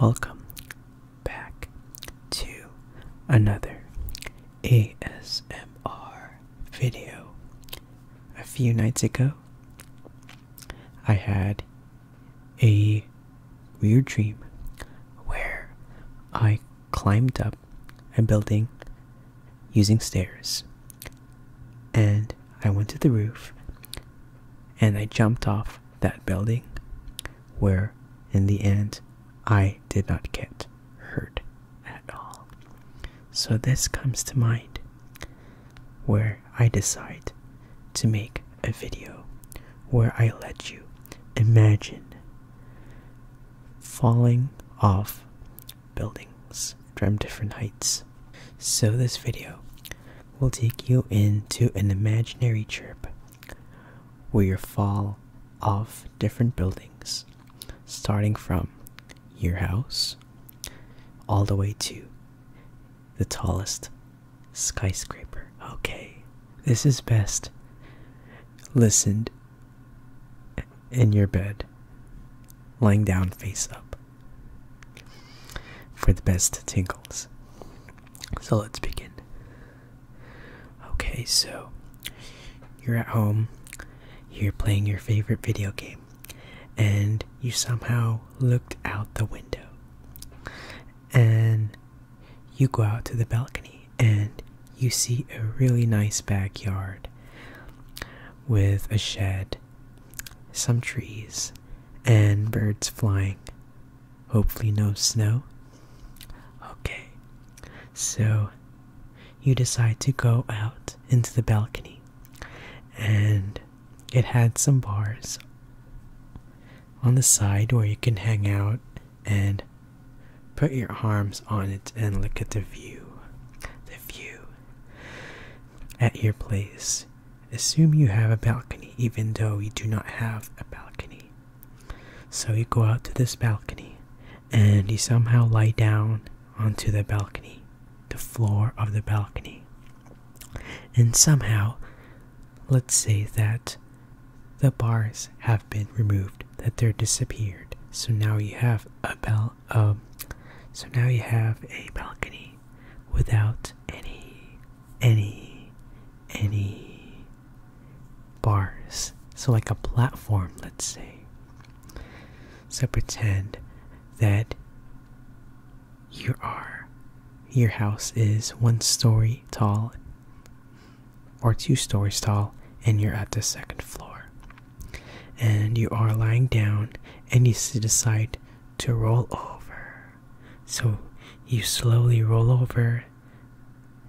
Welcome back to another ASMR video. A few nights ago, I had a weird dream where I climbed up a building using stairs and I went to the roof and I jumped off that building where in the end I did not get hurt at all. So this comes to mind where I decide to make a video where I let you imagine falling off buildings from different heights. So this video will take you into an imaginary trip where you fall off different buildings, starting from your house all the way to the tallest skyscraper. Okay, this is best listened in your bed, lying down face up for the best tingles. So let's begin. Okay, so you're at home, you're playing your favorite video game, and you somehow looked out the window. And you go out to the balcony and you see a really nice backyard with a shed, some trees, and birds flying. Hopefully, no snow. Okay, so you decide to go out into the balcony, and it had some bars on the side where you can hang out and put your arms on it and look at the view. The view at your place assume you have a balcony even though you do not have a balcony. So you go out to this balcony and you somehow lie down onto the balcony, the floor of the balcony. And somehow, let's say that the bars have been removed, that they're disappeared. So now you have a bal um, so now you have a balcony without any any any bars so like a platform let's say so pretend that you are your house is one story tall or two stories tall and you're at the second floor and you are lying down and you decide to roll over so you slowly roll over,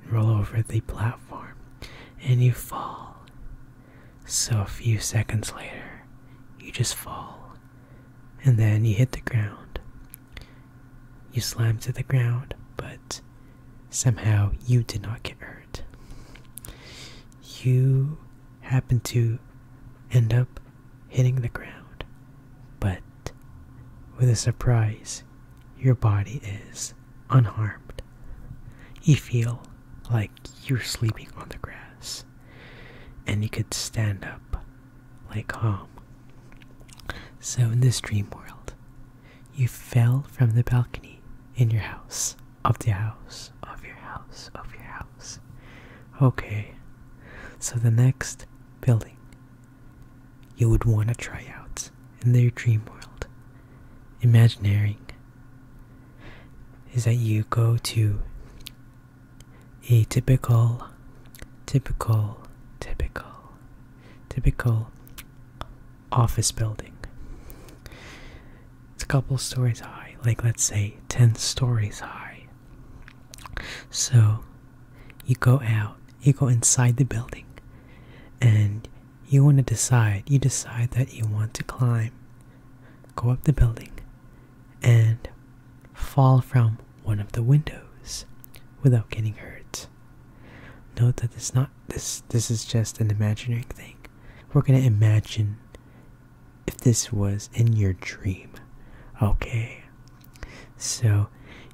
roll over the platform, and you fall. So a few seconds later, you just fall, and then you hit the ground. You slam to the ground, but somehow you did not get hurt. You happen to end up hitting the ground, but with a surprise, your body is unharmed. You feel like you're sleeping on the grass, and you could stand up like calm. So, in this dream world, you fell from the balcony in your house, of the house, of your house, of your house. Okay, so the next building you would want to try out in their dream world. imagining. is that you go to a typical, typical, typical, typical office building. It's a couple stories high, like let's say 10 stories high. So you go out, you go inside the building, and you want to decide, you decide that you want to climb, go up the building, and fall from one of the windows without getting hurt. Note that it's not this this is just an imaginary thing. We're gonna imagine if this was in your dream. Okay, so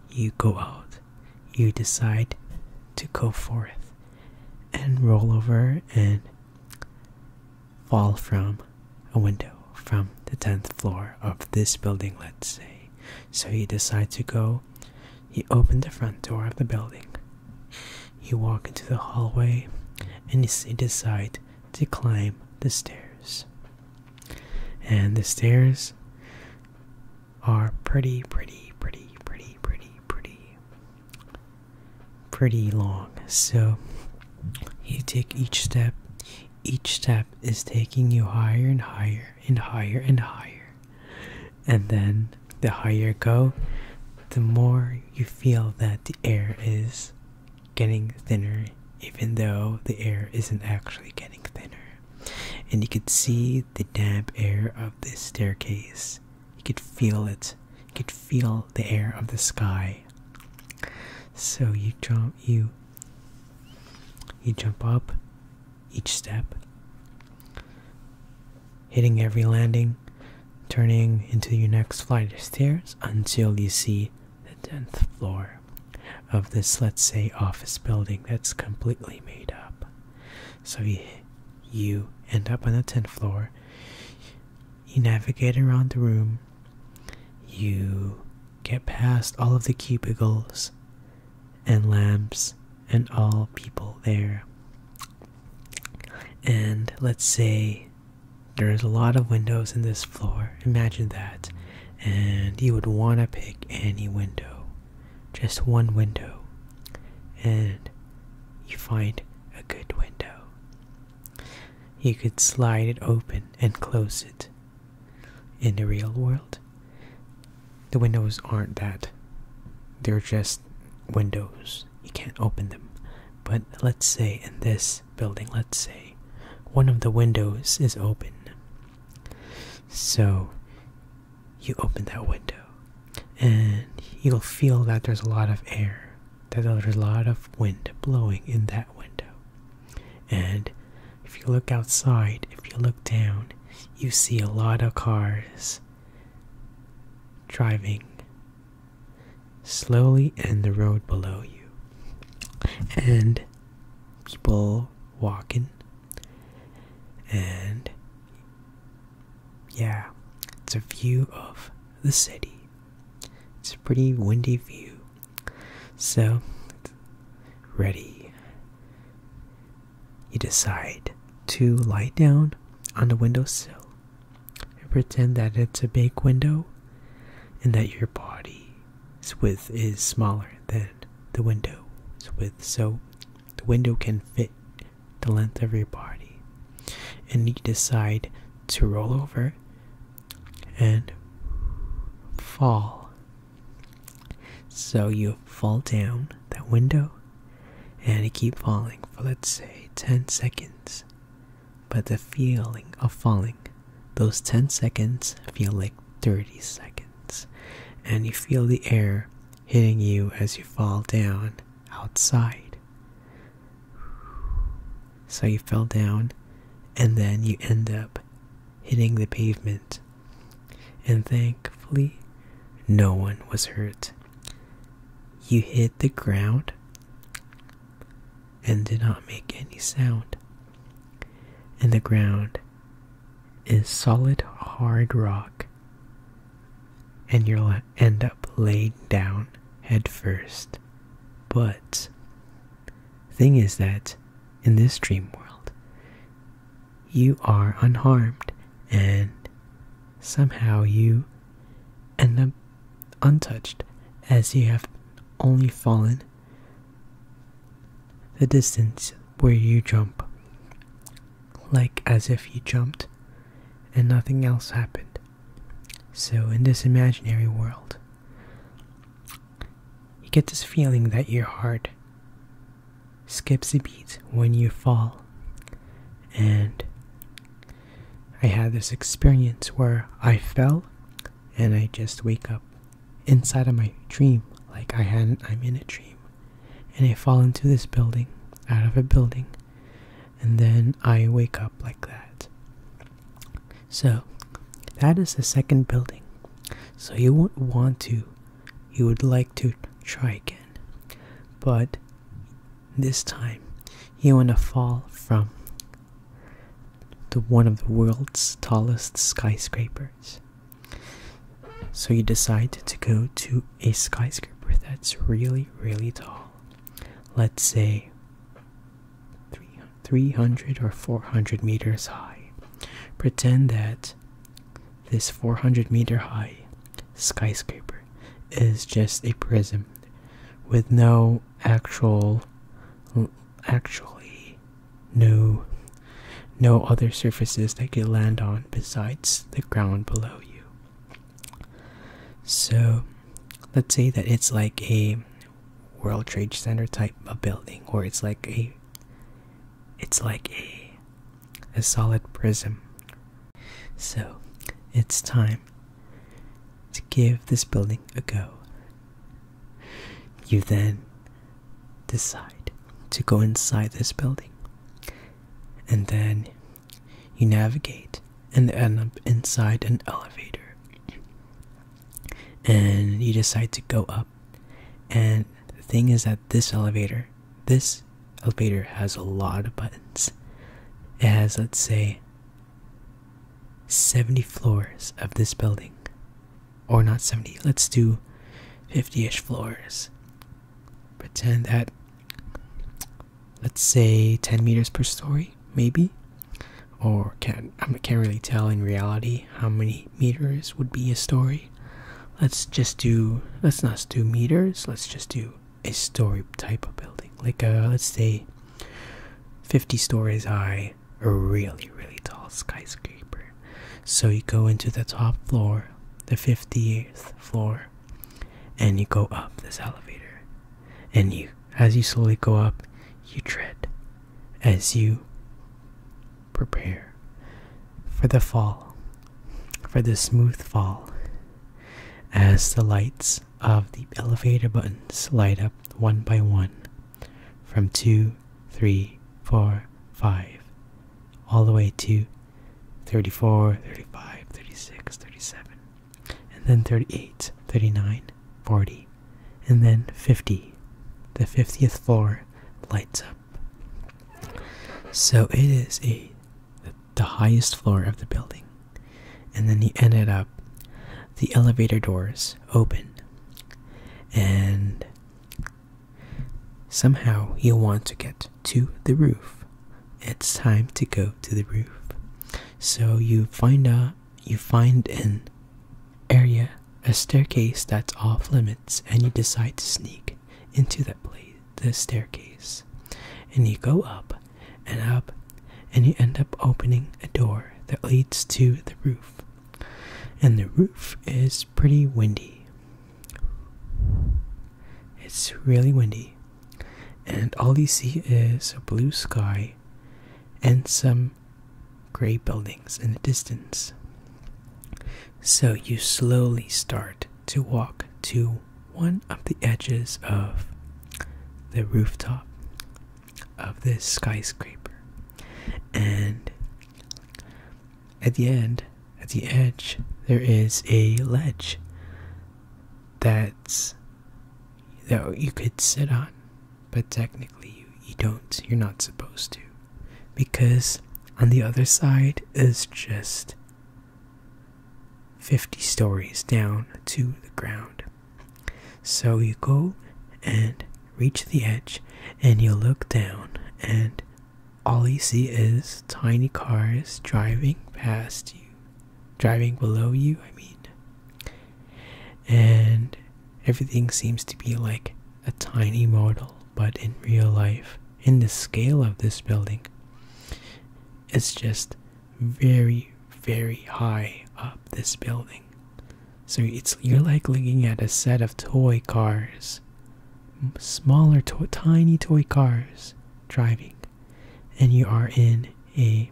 you go out, you decide to go forth and roll over and fall from a window from the 10th floor of this building, let's say. So you decide to go, you open the front door of the building, you walk into the hallway, and you decide to climb the stairs. And the stairs are pretty, pretty, pretty, pretty, pretty, pretty, pretty long. So you take each step, each step is taking you higher and higher and higher and higher. And then the higher you go, the more you feel that the air is getting thinner even though the air isn't actually getting thinner. And you could see the damp air of this staircase. You could feel it. You could feel the air of the sky. So you jump you you jump up each step, hitting every landing, turning into your next flight of stairs until you see 10th floor of this, let's say, office building that's completely made up. So you, you end up on the 10th floor, you navigate around the room, you get past all of the cubicles and lamps and all people there. And let's say there's a lot of windows in this floor. Imagine that and you would want to pick any window, just one window, and you find a good window. You could slide it open and close it. In the real world, the windows aren't that. They're just windows. You can't open them. But let's say in this building, let's say one of the windows is open so you open that window and you'll feel that there's a lot of air, that there's a lot of wind blowing in that window. And if you look outside, if you look down, you see a lot of cars driving slowly in the road below you. And people walking, and yeah, it's a view of the city. It's a pretty windy view. So, ready. You decide to lie down on the windowsill and pretend that it's a big window and that your body width is smaller than the window's width, so the window can fit the length of your body. And you decide to roll over and fall. So you fall down that window and you keep falling for let's say 10 seconds. But the feeling of falling, those 10 seconds feel like 30 seconds, and you feel the air hitting you as you fall down outside. So you fell down, and then you end up hitting the pavement. And thankfully, no one was hurt. You hit the ground and did not make any sound. And the ground is solid hard rock and you'll end up laid down head first but thing is that in this dream world you are unharmed and somehow you end up untouched as you have only fallen the distance where you jump, like as if you jumped and nothing else happened. So, in this imaginary world, you get this feeling that your heart skips a beat when you fall. And I had this experience where I fell and I just wake up inside of my dream, like I had I'm in a dream, and I fall into this building, out of a building, and then I wake up like that. So that is the second building. So you would want to, you would like to try again, but this time you want to fall from the one of the world's tallest skyscrapers so you decide to go to a skyscraper that's really, really tall. Let's say 300 or 400 meters high. Pretend that this 400 meter high skyscraper is just a prism with no actual actually no no other surfaces that you land on besides the ground below you so let's say that it's like a world trade center type of building or it's like a it's like a a solid prism so it's time to give this building a go you then decide to go inside this building, and then you navigate and end up inside an elevator. And you decide to go up. And the thing is that this elevator, this elevator has a lot of buttons. It has, let's say, 70 floors of this building or not 70 let's do 50ish floors pretend that let's say 10 meters per story maybe or can't i can't really tell in reality how many meters would be a story let's just do let's not do meters let's just do a story type of building like a uh, let's say 50 stories high a really really tall skyscraper so you go into the top floor, the 58th floor, and you go up this elevator. And you, as you slowly go up, you tread as you prepare for the fall, for the smooth fall, as the lights of the elevator buttons light up one by one from two two, three, four, five, all the way to 34, 35, 36, 37, and then 38, 39, 40, and then 50. The 50th floor lights up. So it is a the highest floor of the building. And then he ended up the elevator doors open and Somehow you want to get to the roof. It's time to go to the roof. So you find a you find an area, a staircase that's off limits, and you decide to sneak into that place, the staircase. And you go up and up, and you end up opening a door that leads to the roof and the roof is pretty windy. It's really windy, and all you see is a blue sky and some gray buildings in the distance. So you slowly start to walk to one of the edges of the rooftop of this skyscraper, and at the end, at the edge, there is a ledge that's that you could sit on, but technically you, don't. You're not supposed to, because on the other side is just 50 stories down to the ground. So you go and reach the edge, and you look down, and all you see is tiny cars driving past you, driving below you, I mean. And everything seems to be like a tiny model, but in real life, in the scale of this building, it's just very, very high up this building. So it's you're like looking at a set of toy cars smaller, tiny toy cars driving, and you are in a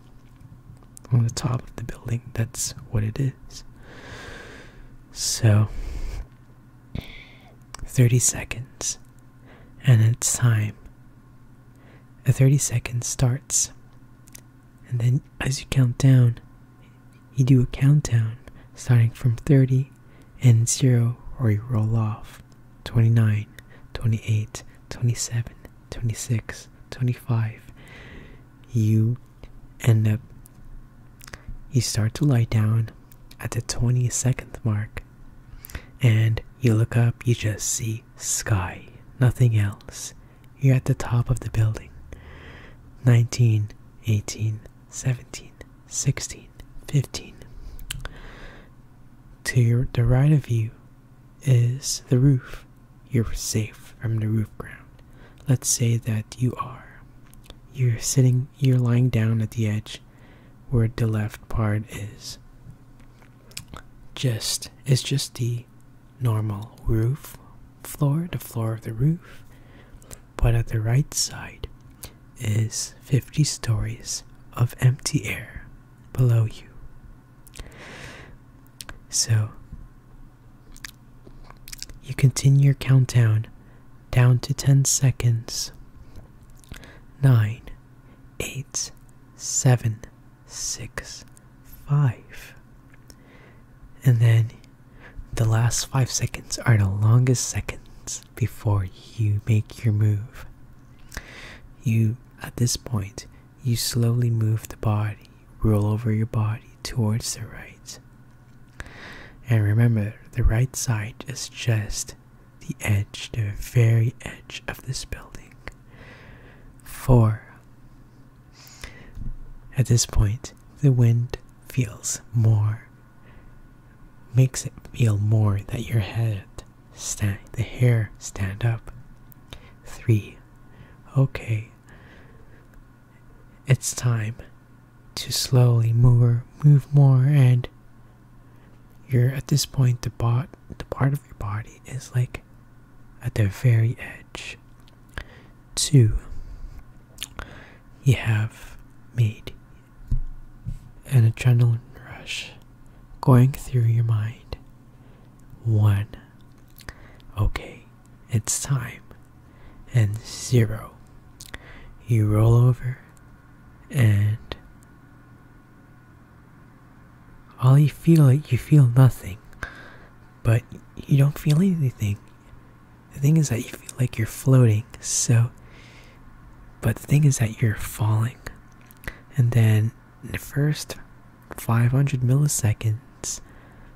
on the top of the building. That's what it is. So, 30 seconds, and it's time. A 30 seconds starts, and then as you count down, you do a countdown starting from 30 and 0 or you roll off 29 28 27 26 25 you end up you start to lie down at the 22nd mark and you look up you just see sky nothing else you're at the top of the building 19 18 17 16, 15. To your, the right of you is the roof. You're safe from the roof ground. Let's say that you are. You're sitting, you're lying down at the edge where the left part is. Just, is just the normal roof floor, the floor of the roof but at the right side is 50 stories of empty air below you. So you continue your countdown down to 10 seconds. 9, 8, 7, 6, 5. And then the last five seconds are the longest seconds before you make your move. You, at this point, you slowly move the body, roll over your body towards the right. And remember, the right side is just the edge, the very edge of this building. Four. At this point, the wind feels more makes it feel more that your head stand the hair stand up. Three. Okay. It's time to slowly move move more and you're at this point the bot the part of your body is like at the very edge. Two you have made an adrenaline rush going through your mind. One, okay, it's time. And zero, you roll over and all you feel, you feel nothing, but you don't feel anything the thing is that you feel like you're floating so but the thing is that you're falling and then in the first 500 milliseconds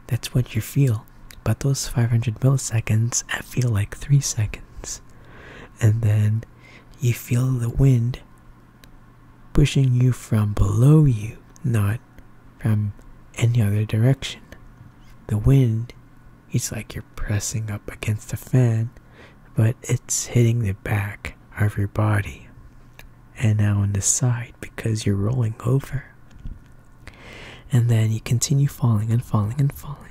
that's what you feel but those 500 milliseconds I feel like 3 seconds and then you feel the wind pushing you from below you not from any other direction the wind it's like you're pressing up against a fan, but it's hitting the back of your body and now on the side because you're rolling over. And then you continue falling and falling and falling.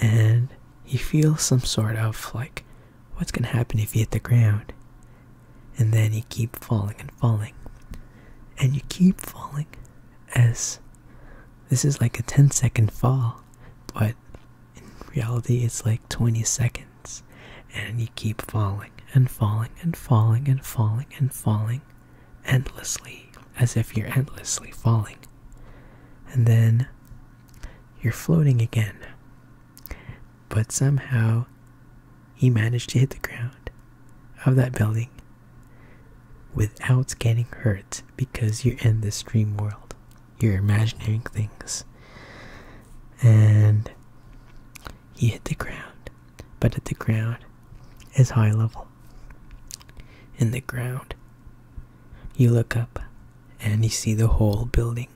And you feel some sort of like, what's going to happen if you hit the ground? And then you keep falling and falling. And you keep falling as this is like a ten-second fall, but in reality, it's like 20 seconds, and you keep falling and falling and falling and falling and falling endlessly, as if you're endlessly falling. And then you're floating again. But somehow he managed to hit the ground of that building without getting hurt because you're in this dream world. You're imagining things. And he hit the ground, but at the ground is high level. In the ground, you look up and you see the whole building,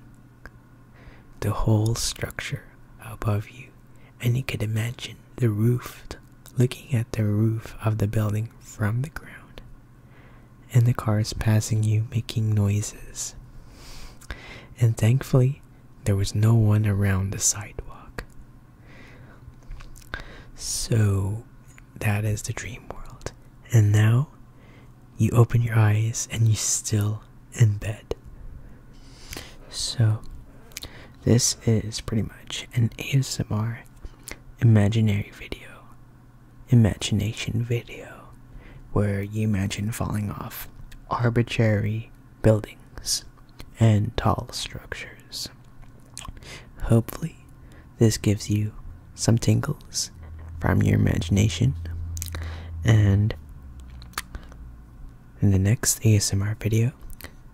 the whole structure above you, and you could imagine the roofed looking at the roof of the building from the ground, and the cars passing you making noises. And thankfully, there was no one around the sidewalk. So, that is the dream world. And now, you open your eyes and you're still in bed. So, this is pretty much an ASMR imaginary video, imagination video, where you imagine falling off arbitrary buildings and tall structures. Hopefully, this gives you some tingles from your imagination, and in the next ASMR video,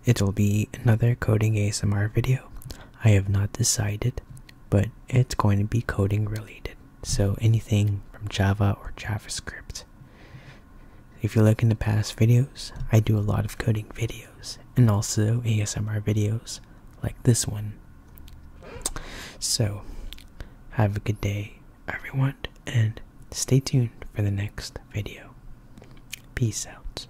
it'll be another coding ASMR video I have not decided, but it's going to be coding related. So anything from Java or JavaScript. If you look in the past videos, I do a lot of coding videos and also ASMR videos like this one. So, have a good day, everyone, and stay tuned for the next video. Peace out.